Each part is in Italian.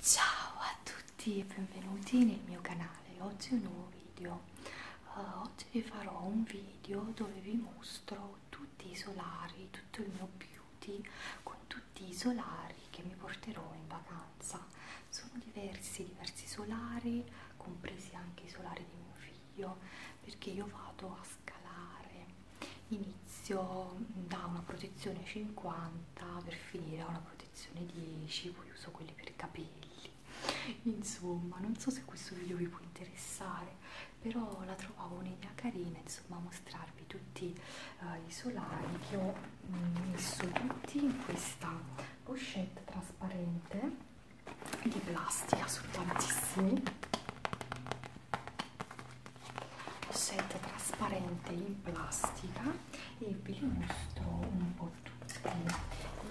Ciao a tutti e benvenuti nel mio canale, oggi è un nuovo video. Uh, oggi vi farò un video dove vi mostro tutti i solari, tutto il mio beauty con tutti i solari che mi porterò in vacanza. Sono diversi, diversi solari, compresi anche i solari di mio figlio io perché io vado a scalare inizio da una protezione 50 per finire a una protezione 10 poi uso quelli per capelli insomma non so se questo video vi può interessare però la trovavo un'idea carina insomma mostrarvi tutti uh, i solari che ho mm, messo tutti in questa pochette trasparente di plastica sono tantissimi set trasparente in plastica e ve li mostro un po' tutti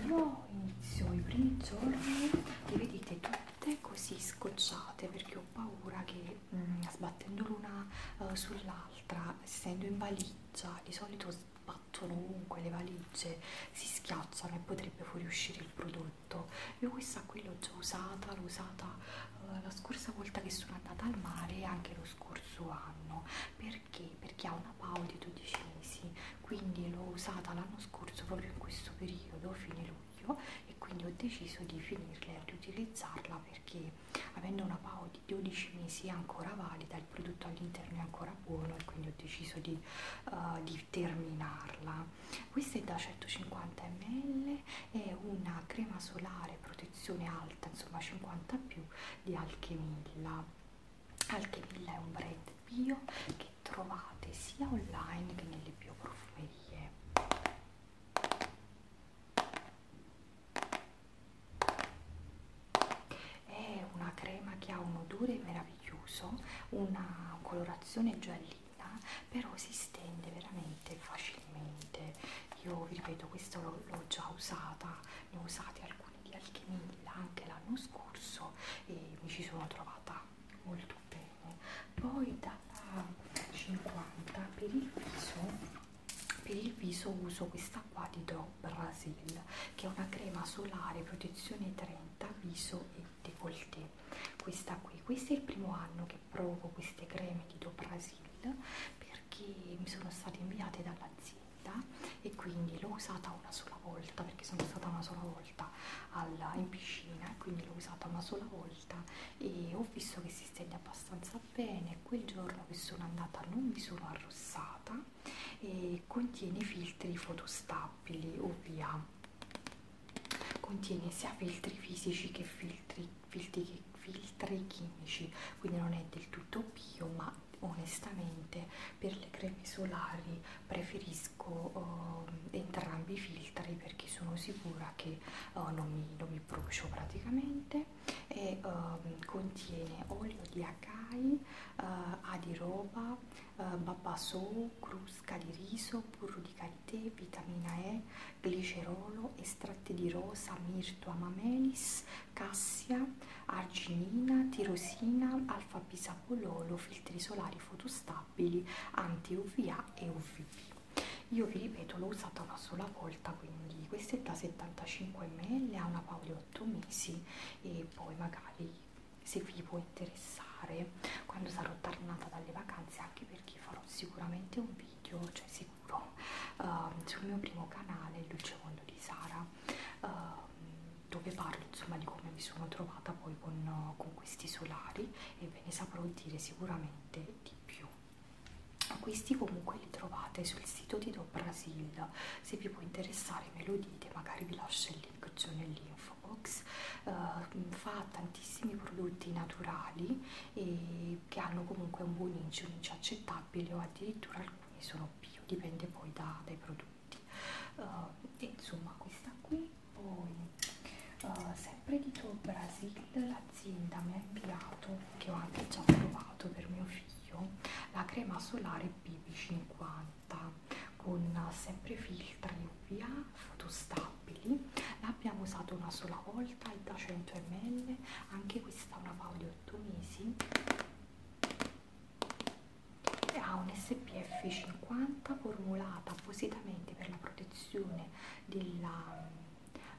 io inizio i primi giorni li vedete tutte così scocciate perché ho paura che mh, mm, sbattendo l'una uh, sull'altra essendo in valigia di solito sbattono ovunque le valigie si schiacciano e potrebbe fuoriuscire il prodotto prodotto io questa qui l'ho già usata l'ho usata eh, la scorsa volta che sono andata al mare anche lo scorso anno perché perché ha una PAO di 12 mesi quindi l'ho usata l'anno scorso proprio in questo periodo fine luglio e quindi ho deciso di finirla e di utilizzarla perché avendo una PAO di 12 mesi è ancora valida il prodotto all'interno è ancora buono e quindi ho deciso di, uh, di per terminarla questa è da 150 ml è una crema solare protezione alta insomma 50 più di alchemilla alchemilla è un brand bio che trovate sia online che nelle bioprofumerie è una crema che ha un odore meraviglioso, una colorazione giallina, però si stende veramente facilmente. Io vi ripeto, questa l'ho già usata, ne ho usati alcuni di Alchemilla anche l'anno scorso e mi ci sono trovata molto bene. Poi dalla 50 per il viso, per il viso uso questa qua di Do Brasil Reveal che è una crema solare protezione 30 viso e decolleté questa qui questo è il primo anno che provo queste creme di Doprasil perché mi sono state inviate dall'azienda e quindi l'ho usata una sola volta perché sono stata una sola volta alla, in piscina quindi l'ho usata una sola volta e ho visto che si stende abbastanza bene quel giorno che sono andata non mi sono arrossata e contiene filtri fotostabili UVA contiene sia filtri fisici che filtri, filtri, che filtri chimici quindi non è del tutto bio ma onestamente per le creme solari preferisco eh, entrambi i filtri perché sono sicura che eh, non, mi, non mi brucio praticamente e eh, contiene olio di acai, eh, adiroba, eh, babasò, crusca di riso, burro di karité, vitamina E, glicerolo, estratti di rosa, mirto, amamelis, cassia, arginina, tirosina, alfa bisabololo, filtri solari fotostabili, anti-UVA e UVB. Io vi ripeto, l'ho usata una sola volta, quindi questa è da 75 ml, ha una otto mesi e poi magari se vi può interessare quando sarò tornata dalle vacanze anche perché farò sicuramente un video cioè sicuro uh, sul mio primo canale il dolce mondo di Sara uh, dove parlo insomma di come mi sono trovata poi con, con questi solari e ve ne saprò dire sicuramente di più questi comunque li trovate sul sito di o Brasil se vi può interessare me lo dite magari vi lascio il link giù nell'info box uh, eh, mm, fa tantissimi prodotti naturali e che hanno comunque un buon incio un incio accettabile o addirittura alcuni sono bio dipende poi da, dai prodotti uh, e insomma questa qui poi Uh, sempre di Tour Brasil l'azienda mi ha inviato che ho anche già provato per mio figlio consiglio la crema solare BB50 con sempre filtri UVA fotostabili l'abbiamo usata una sola volta è da 100 ml anche questa è una pau di 8 mesi e ha un SPF 50 formulata appositamente per la protezione della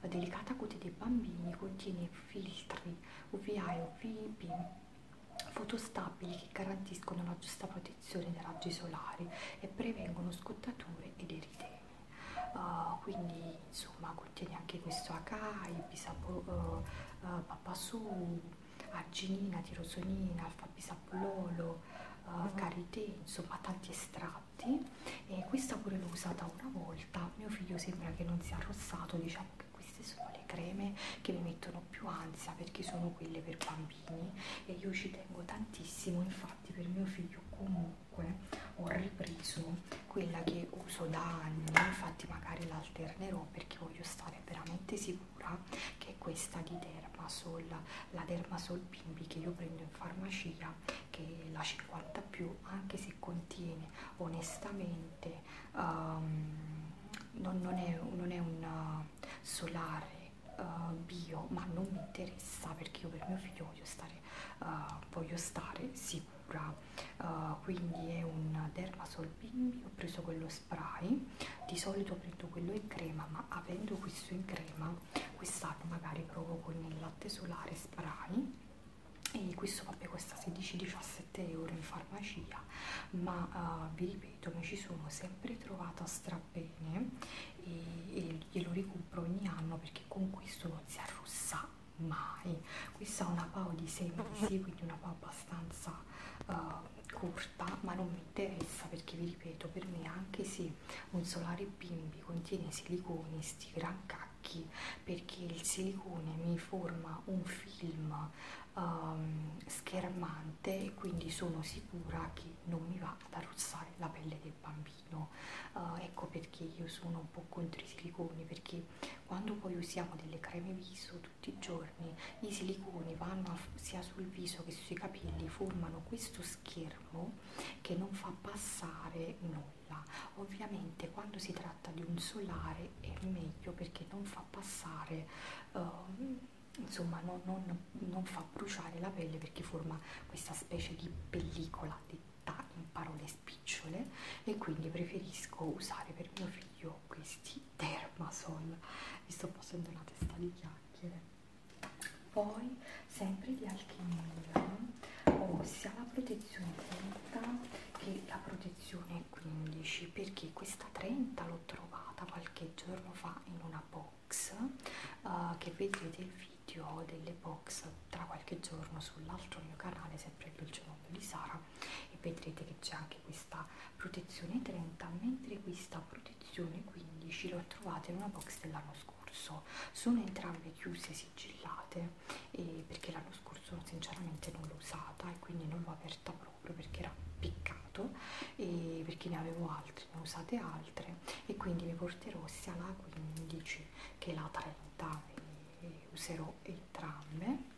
delicata cute dei bambini contiene filtri UVA e UVB fotostabili che garantiscono la giusta protezione dai raggi solari e prevengono scottature ed eritemi. Uh, quindi insomma contiene anche questo acai, bisapo, uh, eh, uh, eh, papasù, arginina, tirosonina, alfa bisabololo, uh, eh, karité, mm-hmm. insomma tanti estratti e questa pure l'ho usata una volta, mio figlio sembra che non sia arrossato, diciamo queste sono le creme che mi mettono più ansia perché sono quelle per bambini e io ci tengo tantissimo infatti per mio figlio comunque ho ripreso quella che uso da anni infatti magari la alternerò perché voglio stare veramente sicura che è questa di Dermasol la Dermasol Bimbi che io prendo in farmacia che è la 50 più anche se contiene onestamente um, non, non è, non è un uh, solare uh, bio ma non mi interessa perché io per mio figlio voglio stare, uh, voglio stare sicura uh, quindi è un dermasol bimbi ho preso quello spray di solito prendo quello in crema ma avendo questo in crema quest'anno magari provo con il latte solare spray e questo vabbè costa 16-17 euro in farmacia ma uh, vi ripeto mi ci sono sempre trovata strabene e, e glielo recupero ogni anno perché con questo non si arrossa mai questa è una pao di semplice quindi una pao abbastanza uh, corta ma non mi interessa perché vi ripeto per me anche se un solare bimbi contiene siliconi sti gran cari attacchi perché il silicone mi forma un film um, schermante e quindi sono sicura che non mi va ad arrozzare la pelle del bambino uh, ecco perché io sono un po' contro i siliconi perché quando poi usiamo delle creme viso tutti i giorni i siliconi vanno a, sia sul viso che sui capelli formano questo schermo che non fa passare noi colla ovviamente quando si tratta di un solare è meglio perché non fa passare uh, insomma non, non, non fa bruciare la pelle perché forma questa specie di pellicola detta in parole spicciole e quindi preferisco usare per mio figlio questi dermasol mi sto facendo una testa di chiacchiere poi sempre di alchimia ho sia la protezione 30 che la protezione 15 perché questa 30 l'ho trovata qualche giorno fa in una box uh, che vedrete il video delle box tra qualche giorno sull'altro mio canale sempre il dolce mondo di Sara e vedrete che c'è anche questa protezione 30 mentre questa protezione 15 l'ho trovata in una box dell'anno scorso sono entrambe chiuse sigillate e perché l'anno scorso sinceramente non l'ho usata e quindi non l'ho aperta proprio perché era piccato e perché ne avevo altri, ne ho usate altre e quindi mi porterò sia la 15 che la 30 e userò entrambe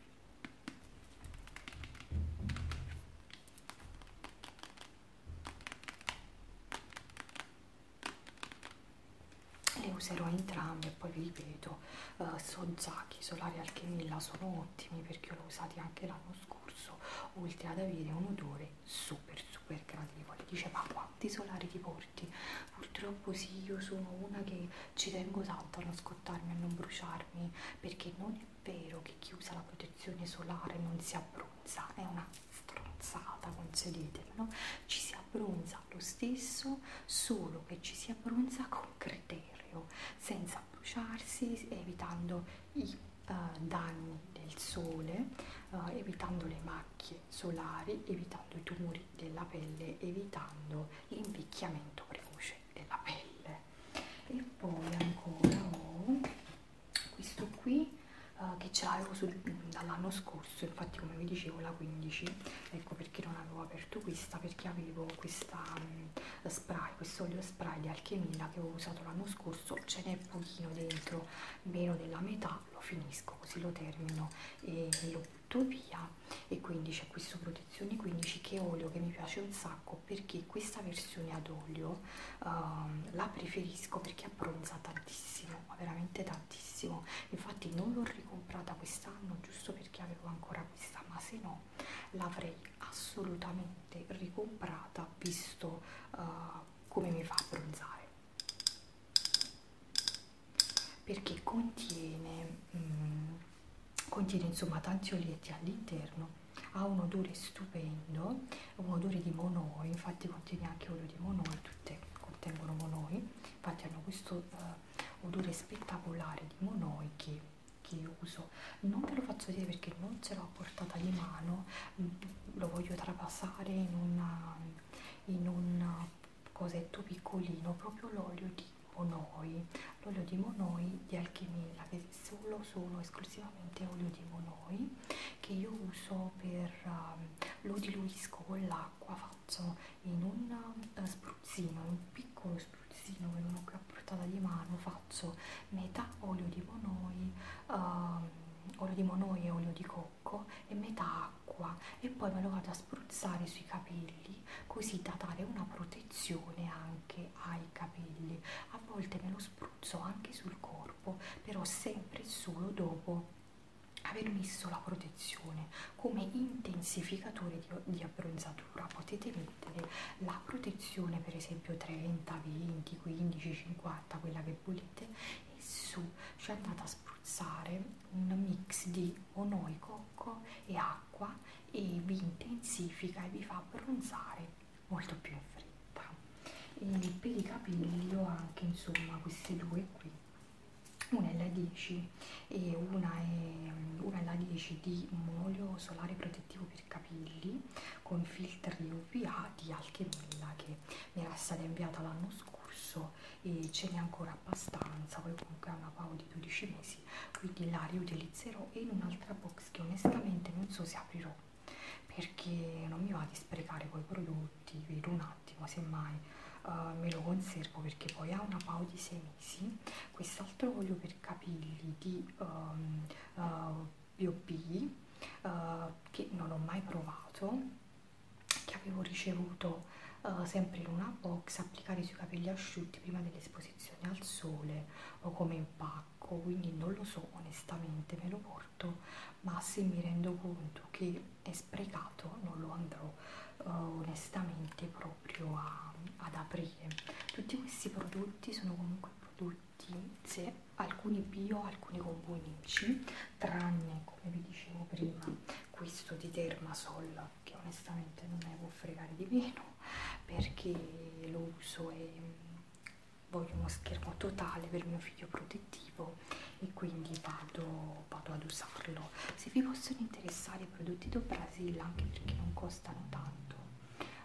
le userò entrambe poi vi ripeto uh, eh, Sojaki, Solari Alchemilla sono ottimi perché l'ho usati anche l'anno scorso oltre ad avere un odore super super gradevole dice ma quanti solari ti porti? purtroppo sì io sono una che ci tengo tanto a non scottarmi a non bruciarmi perché non è vero che chi usa la protezione solare non si abbronza è una stronzata, concedetemelo, ci si abbronza lo stesso, solo che ci si abbronza con criterio, senza bruciarsi, evitando i uh, danni del sole, uh, evitando le macchie solari, evitando i tumori della pelle, evitando l'invecchiamento precoce della pelle. E poi ancora ho oh, questo qui uh, che ce l'avevo mm, dall'anno scorso infatti come vi dicevo la 15 ecco perché non avevo aperto questa perché avevo questa um, spray questo olio spray di alchemia che avevo usato l'anno scorso ce n'è pochino dentro meno della metà lo finisco così lo termino e lo butto via e quindi c'è questo protezione 15 che è olio che mi piace un sacco perché questa versione ad olio uh, la preferisco perché abbronza tantissimo no ma veramente tantissimo infatti non l'ho ricomprata quest'anno giusto perché avevo ancora questa ma se no l'avrei assolutamente ricomprata visto uh, come mi fa abbronzare perché contiene mm, contiene insomma tanti olietti all'interno ha un odore stupendo odori di monoi, infatti contiene anche olio di monoi, tutte contengono monoi, infatti hanno questo uh, odore spettacolare di monoi che, che uso. Non ve lo faccio vedere perché non ce l'ho a portata di mano, mm, lo voglio trapassare in, una, mm, in un mm, cosetto piccolino, proprio l'olio di monoi, l'olio di monoi di alchimia che solo sono esclusivamente olio di monoi che io uso per uh, lo diluisco con l'acqua, faccio in un uh, spruzzino, un piccolo spruzzino che non ho qui a portata di mano, faccio metà olio di monoi, uh, olio di monoi e olio di cocco e metà acqua e poi me lo vado a spruzzare sui capelli così da dare una protezione anche ai capelli. A volte me lo spruzzo anche sul corpo corpo, però sempre e solo dopo aver messo la protezione come intensificatore di, di abbronzatura. Potete mettere la protezione per esempio 30, 20, 15, 50, quella che volete e su ci andate a spruzzare un mix di onoicocco e acqua e vi intensifica e vi fa abbronzare molto più in fretta e per i capelli ho anche insomma queste due qui una è la 10 e una è una la 10 di un olio solare protettivo per capelli con filtri UVA di Alchemilla che mi era stata inviata l'anno scorso e ce n'è ancora abbastanza poi comunque ha una pago di 12 mesi quindi la riutilizzerò in un'altra box che onestamente non so se aprirò perché non mi va di sprecare poi i prodotti vedo un attimo semmai uh, me lo conservo perché poi ha una pau di 6 mesi quest'altro olio per capelli di um, ehm, uh, eh, B.O.B. Uh, eh, che non ho mai provato che avevo ricevuto uh, sempre in una box applicare sui capelli asciutti prima dell'esposizione al sole o come impatto pacco quindi non lo so onestamente me lo porto ma se mi rendo conto che è sprecato non lo andrò uh, onestamente proprio a, ad aprire tutti questi prodotti sono comunque prodotti se alcuni bio alcuni con buonici tranne come vi dicevo prima questo di Dermasol che onestamente non ne può fregare di meno perché lo uso e voglio uno schermo totale per mio figlio protettivo e quindi vado, vado ad usarlo se vi possono interessare i prodotti do Brasil anche perché non costano tanto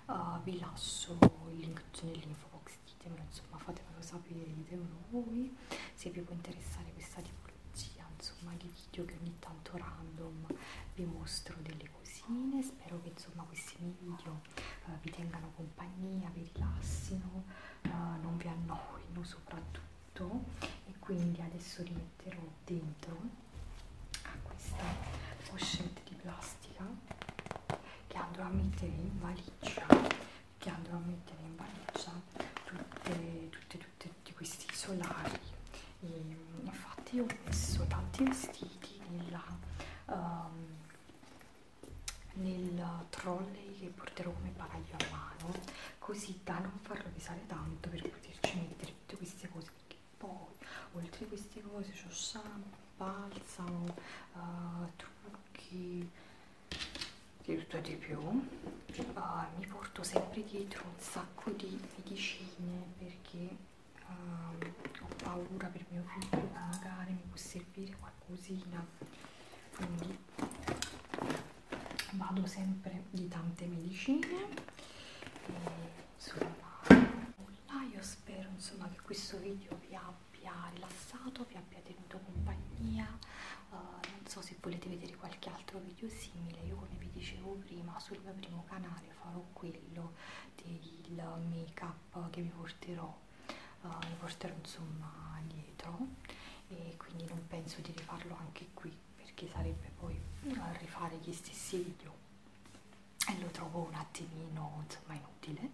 uh, vi lascio il link nell'info box ditemelo insomma fatemelo sapere ditemelo voi se vi può interessare questa tipologia insomma di video che ogni tanto random vi mostro delle cosine spero che insomma questi video eh, vi tengano compagnia, vi rilassino, eh, non vi annoino soprattutto e quindi adesso rimetterò dentro a questa pochette di plastica che andrò a mettere in valigia che andrò a mettere in valigia tutti tutte, tutte, tutte questi solari e ehm, infatti ho messo tanti vestiti nella, um, nel trolley che porterò come bagaglio a mano così da non farlo pesare tanto per poterci mettere tutte queste cose perché poi oltre a queste cose c'ho shampoo, balsamo, uh, trucchi di tutto e di più uh, mi porto sempre dietro un sacco di medicine perché uh, ho paura per mio figlio che magari mi può servire qualcosina quindi vado sempre di tante medicine e insomma là io spero insomma che questo video vi abbia rilassato vi abbia tenuto compagnia uh, non so se volete vedere qualche altro video simile io come vi dicevo prima sul mio primo canale farò quello del make up che vi porterò, uh, vi porterò insomma dietro e quindi non penso di rifarlo anche qui perché sarebbe poi eh, rifare gli stessi video e lo trovo un attimino insomma inutile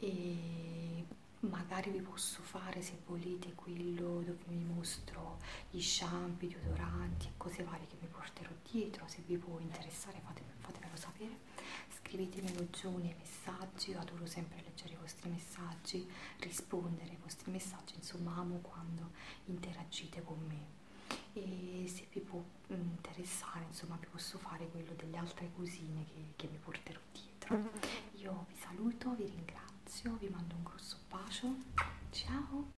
e magari vi posso fare se volete quello dove vi mostro gli shampoo, i deodoranti e cose varie che vi porterò quello dietro, se vi può interessare fatemelo, fatemelo sapere, scrivetemelo giù nei messaggi, io adoro sempre leggere i vostri messaggi, rispondere ai vostri messaggi, insomma amo quando interagite con me e se vi può mm, interessare insomma vi posso fare quello delle altre cosine che, che mi porterò dietro. Mm-hmm. Io vi saluto, vi ringrazio, vi mando un grosso bacio, ciao!